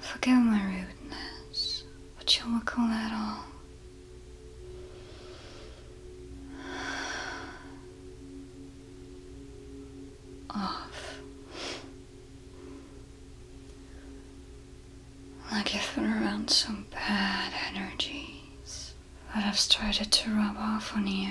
Forgive my rudeness, but you will call that all. Off. Like you have been around some bad energies that have started to rub off on you.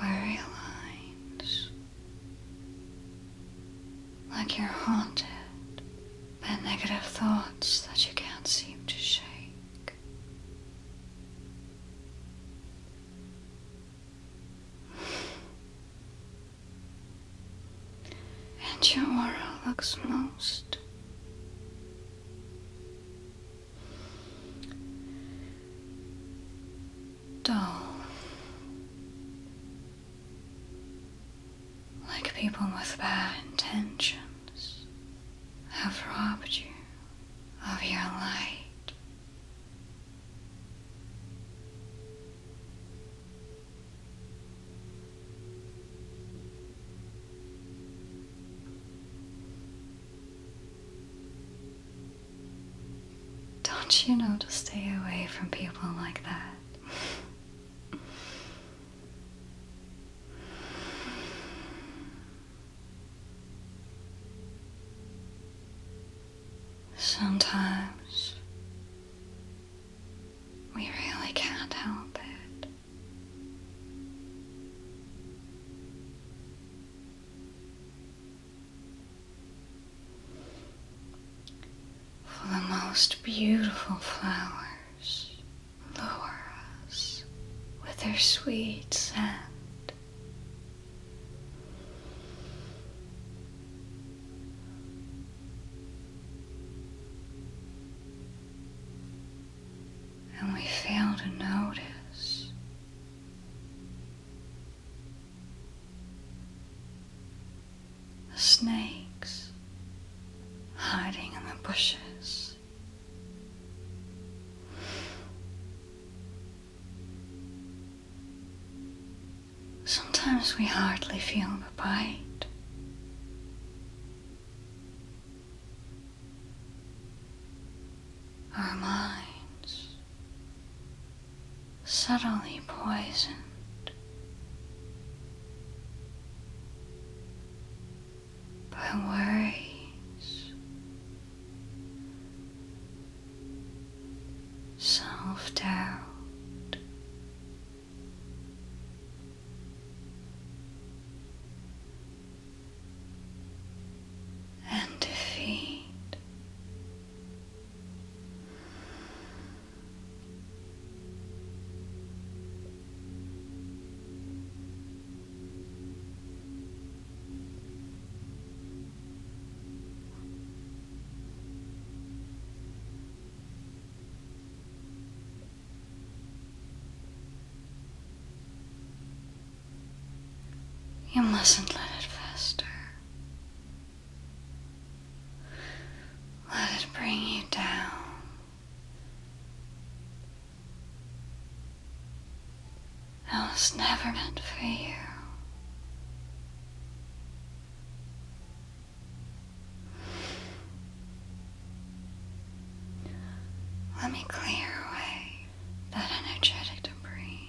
worry lines. Like you're haunted by negative thoughts that you can't seem to shake. And your aura looks most dull. Like people with bad intentions have robbed you of your light. Don't you know to stay away from people like that? Sometimes we really can't help it for the most beautiful flowers lower us with their sweet scent. And we fail to notice the snakes hiding in the bushes. Sometimes we hardly feel the bite. Our minds subtly poisoned. By worries, self doubt, and defeat. You mustn't let it fester. Let it bring you down. That was never meant for you. Let me clear away that energetic debris.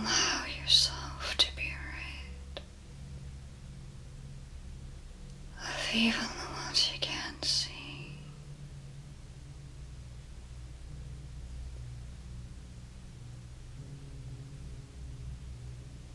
Allow yourself to be rid of even the ones you can't see.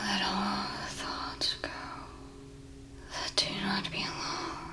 Let all the thoughts go that do not belong.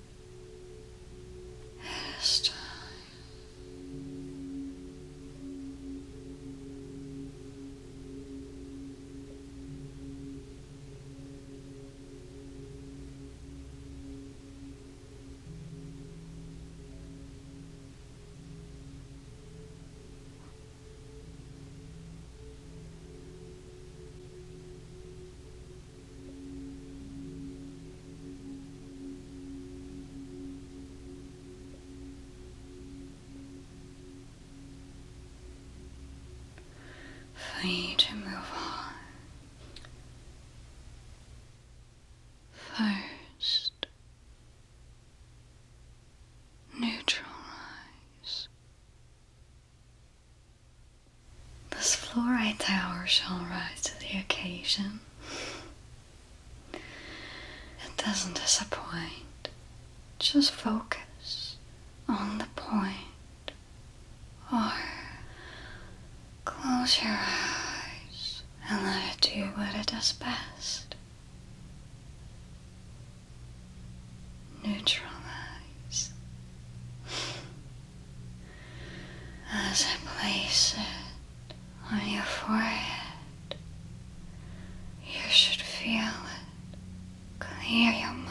This time. For you to move on. First, neutralize. This fluoride tower shall rise to the occasion. It doesn't disappoint. Just focus on the point. Or close your eyes and let it do what it does best. Neutralize as I place it on your forehead. You should feel it clear your mind.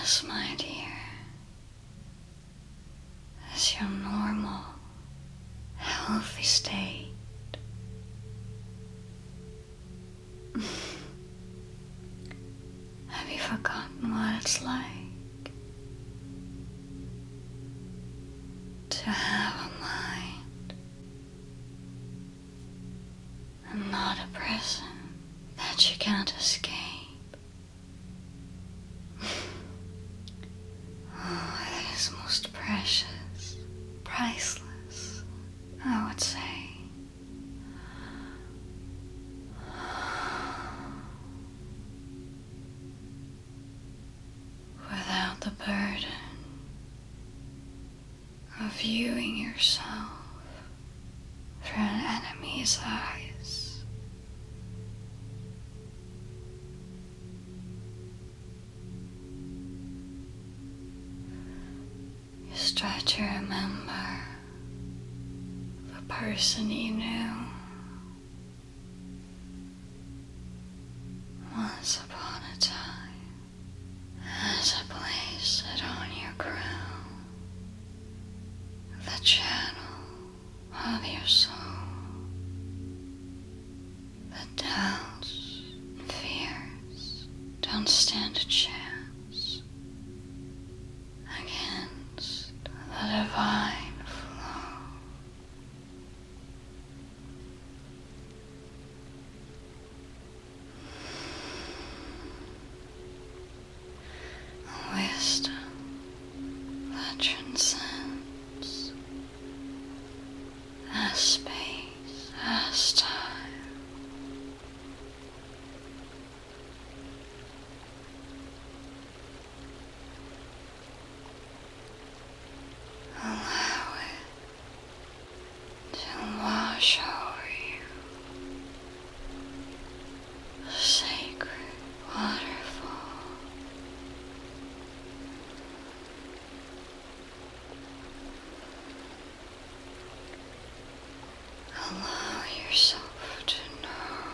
This, my dear, is your normal healthy state. Have you forgotten what it's like to have a mind and not a prison that you can't escape? Oh, that is most precious, priceless, I would say. Without the burden of viewing yourself through an enemy's eyes. You try to remember the person you knew once upon a time as a place that on your crown, the channel of your soul. The doubts and fears don't stand a chance against the divine flow. Wisdom that as space, as time. Allow it to wash over you, sacred waterfall. Allow yourself to know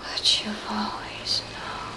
what you've always known.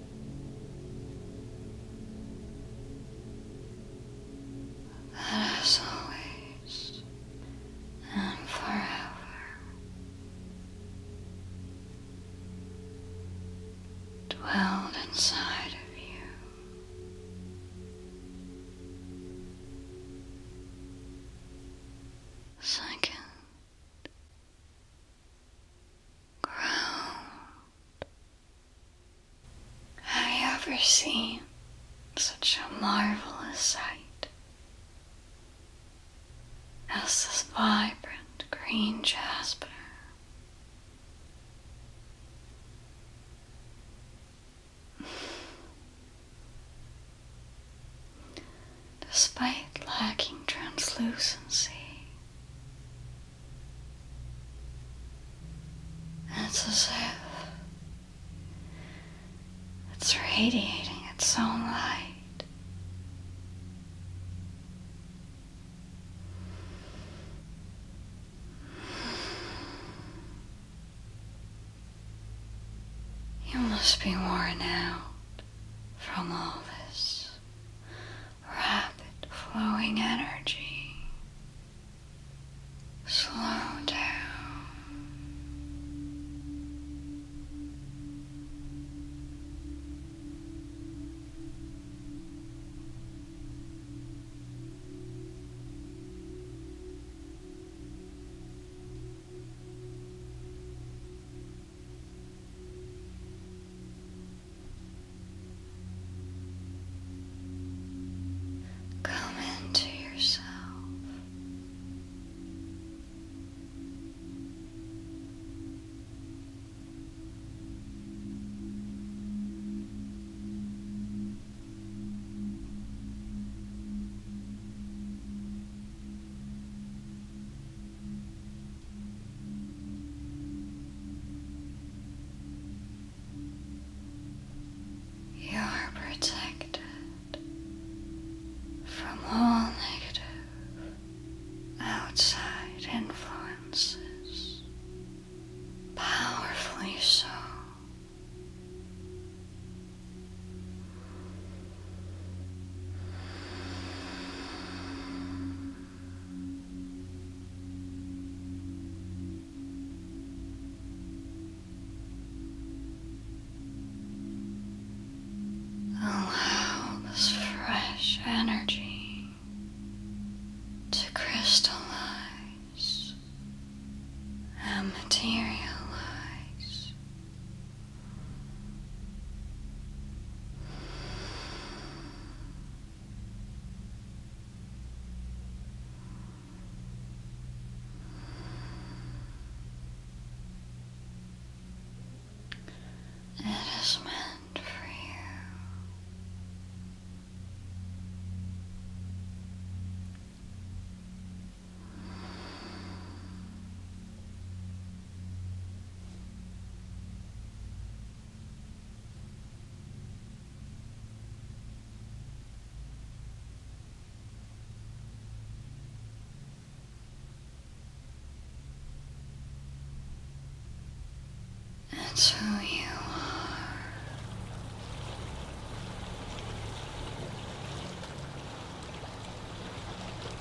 That is always and forever. Dwelled inside of you. Second ground. Have you ever seen such a marvelous sight as this vibrant green jasper? despite lacking translucency. It's as if it's radiating its own light. You must be worn out from all this rapid flowing energy slow down Come into yourself. You are protected from all negative outside influences, powerfully so. Allow this fresh energy to crystallize and materialize it is meant for you. That's who you are.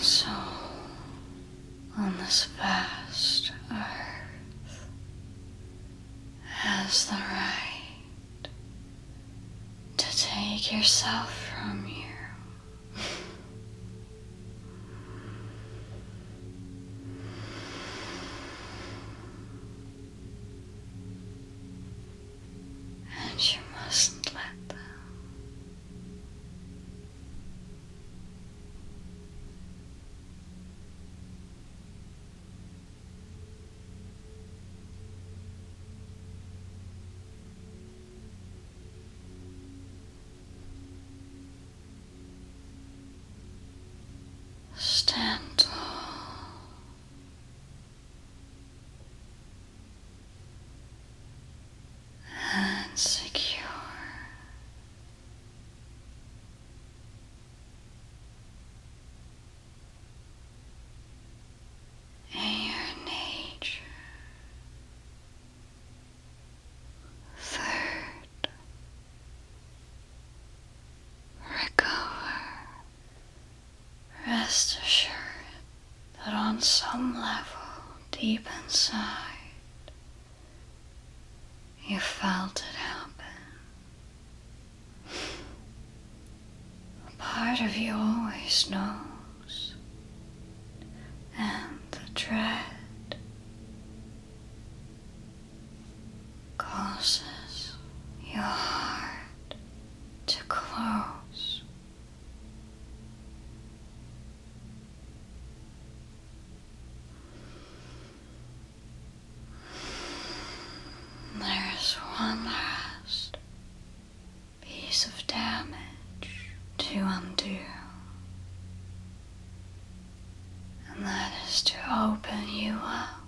so on this vast earth has the right to take yourself from you. and you mustn't let them. Stand tall. And secure and your nature. Third, recover. Rest assured that on some level deep inside, you felt it happen. A part of you always knows, and the dread causes your heart to close. There's one last piece of damage to undo, and that is to open you up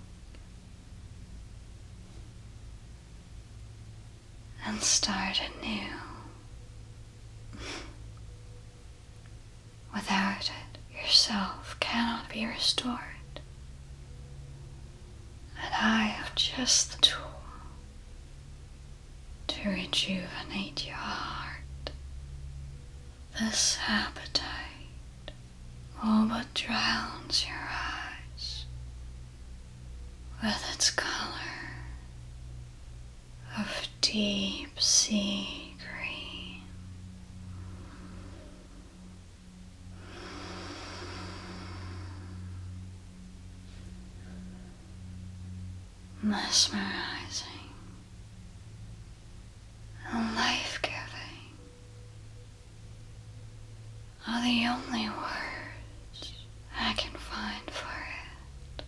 and start anew. Without it, yourself cannot be restored. And I have just the tool to rejuvenate your heart. This appetite all but drowns your eyes with its color of deep sea green mesmerizing and life giving are the only words I can find for it.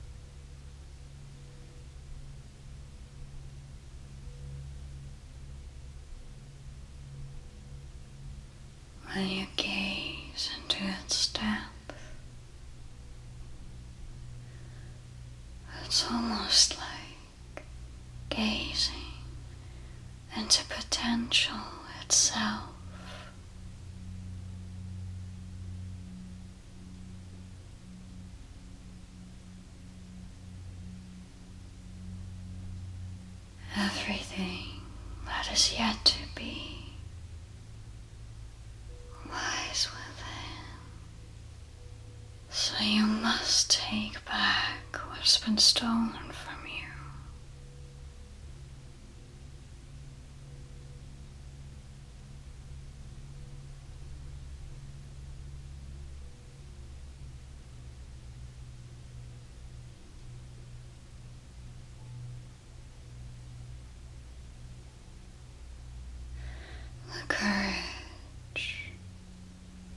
When you gaze into its depths, it's almost like gazing into potential itself. Everything that is yet to be lies within. So you must take back what's been stolen from you. The courage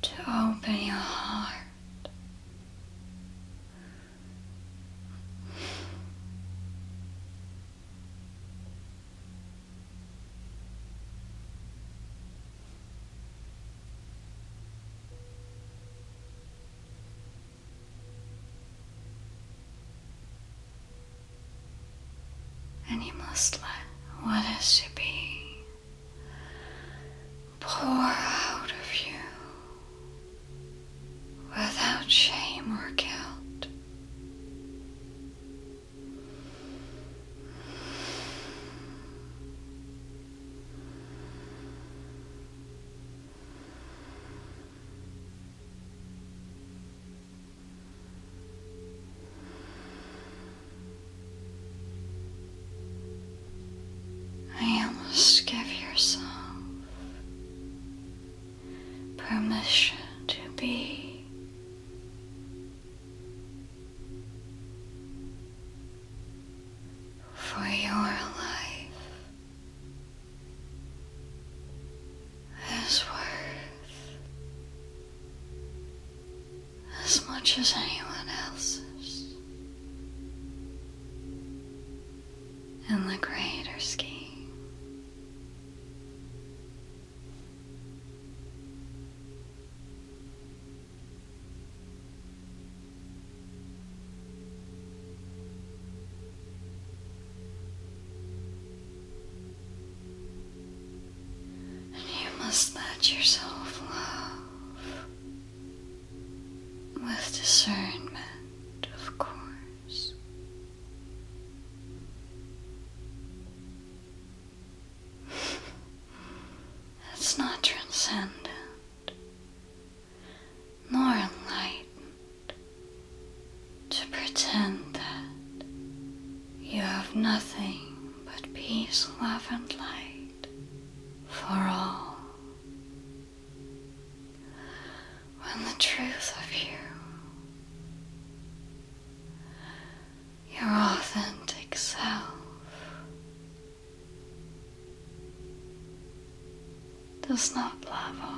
to open your heart. And you must let what to be pour out of you without shame or guilt. I almost give yourself permission to be for your life is worth as much as anyone else's in the greater scheme you must let yourself love with discernment, of course. It's not transcendent nor enlightened to pretend that you have nothing but peace, love, and light for all. When the truth of you your authentic self. Does not level.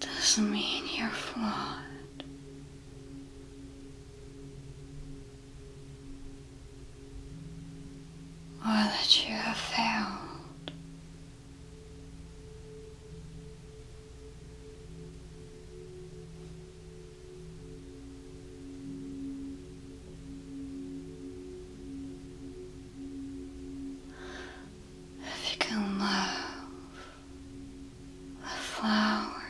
Doesn't mean you're flawed. Or that you have failed. If you can love a flower,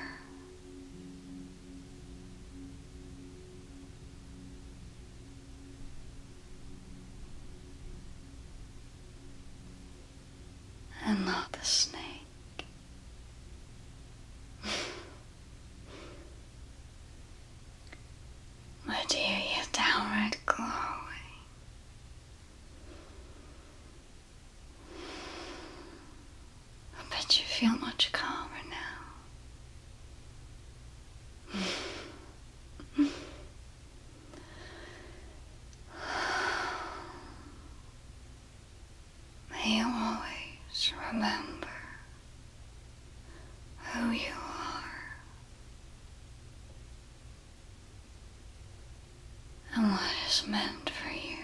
and not the snake. My dear, you downright glowing. I bet you feel much calmer now. May you always remember who you are and what is meant for you.